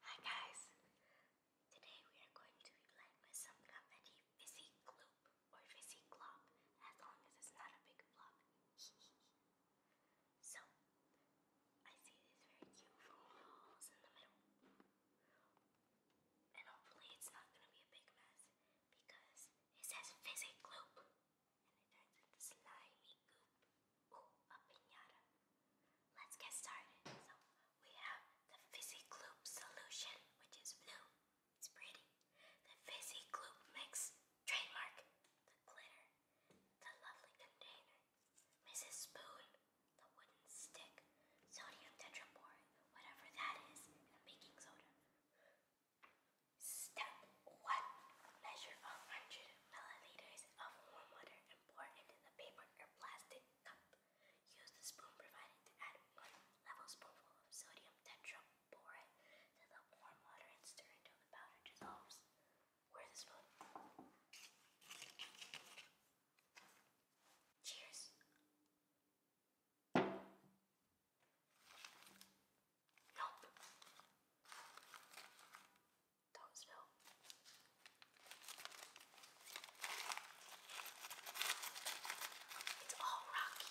Hi guys! Today we are going to be playing with some fizzy gloop or fizzy glop as long as it's not a big flop. so I see these very cute foam balls in the middle. And hopefully it's not gonna be a big mess because it says fizzy gloop and it Let's get started. So we have the fizzy gloop solution, which is blue. It's pretty. The fizzy gloop mix, trademark. The glitter, the lovely container. Mrs. Spoon, the wooden stick, sodium tetraborate, whatever that is, and baking soda. Step 1. Measure 100 milliliters of warm water and pour into the paper or plastic cup. Use the spoon provided to add 1 level spoonful of sodium tetrate. to the warm water and stir until the powder dissolves. Where's the spoon? Cheers. Nope. Thomasville. It's all rocky.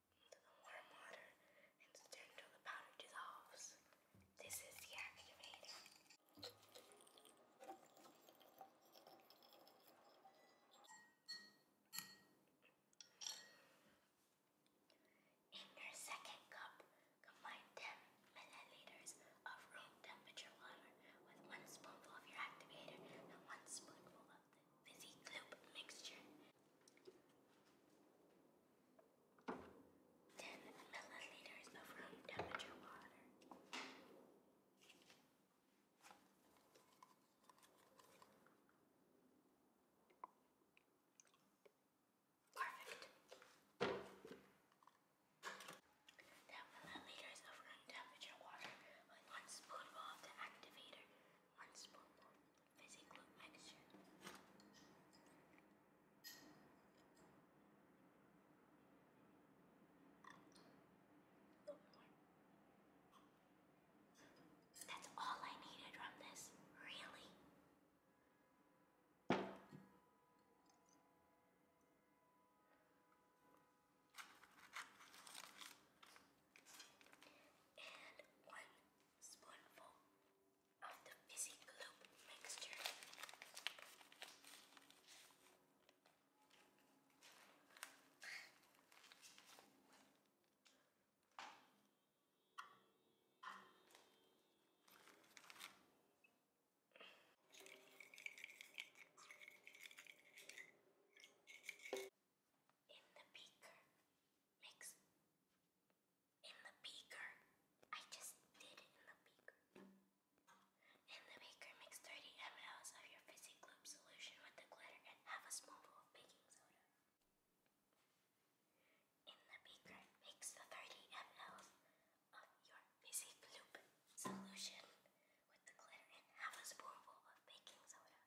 warm water and stir until the powder dissolves. This is the activator. In your second cup, combine 10 milliliters of room temperature water with one spoonful of your activator and one spoonful of the fizzy gloop mixture. 10 milliliters of room temperature water. Perfect. 10 milliliters of room temperature water one spoonful of activator, one spoonful physical action. That's all I needed from this, really. And one spoonful of the fizzy gloop mixture. In the beaker, mix in the beaker. I just did in the beaker. In the beaker, mix 30 ml of your fizzy gloop solution with the glitter and half a spoonful of baking soda. In the beaker, mix the 30 ml of your fizzy gloop solution with the glitter and half a spoonful of baking soda.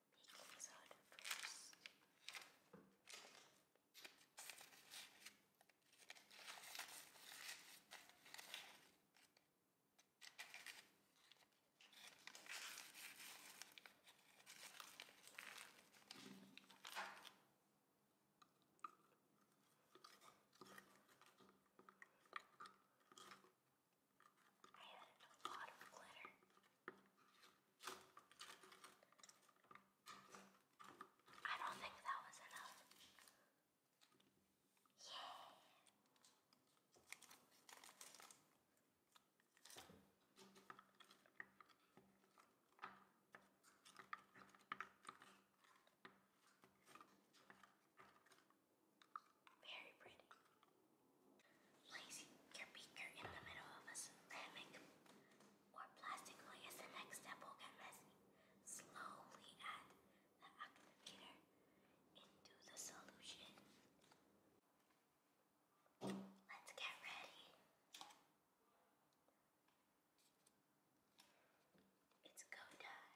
he comes I added a lot of glitter. I don't think that was enough. Very pretty. Place your beaker in the middle of a ceramic or plastic plate as the next step will get messy. Slowly add the activator into the solution. Let's get ready. It's go time.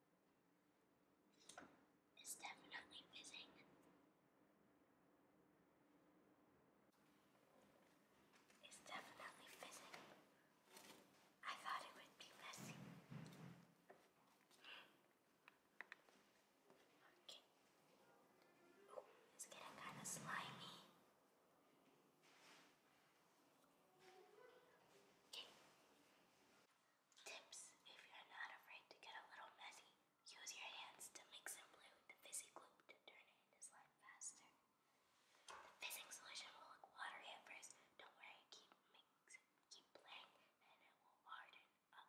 It's definitely fizzing. It's definitely fizzing. I thought it would be messy. Okay. Oh, it's getting kind of slimy. Okay. Tips if you're not afraid to get a little messy, use your hands to mix and blue the fizzy gloop to turn into slime faster. The fizzing solution will look watery at first. Don't worry, keep mix keep playing and it will harden up.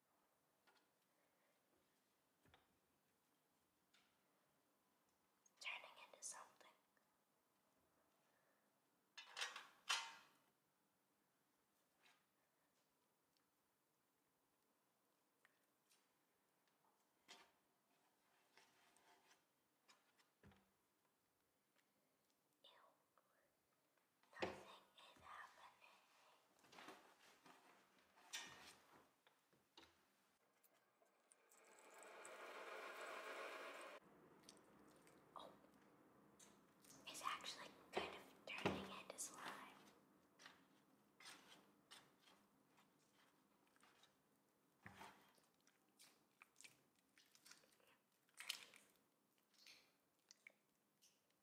turning into something. Ew. Nothing is Oh, it's actually kind of turning into slime.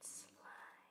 It's slime.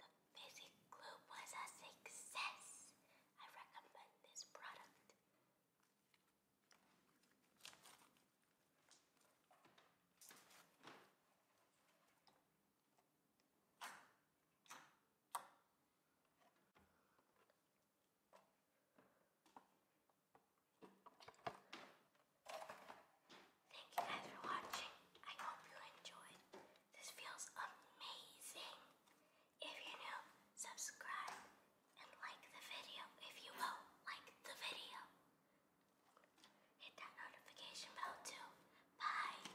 The Busy Glue was a success. I recommend this product. Thank you guys for watching. I hope you enjoyed. This feels amazing. If you're new, subscribe and like the video. If you will, like the video. Hit that notification bell too. Bye.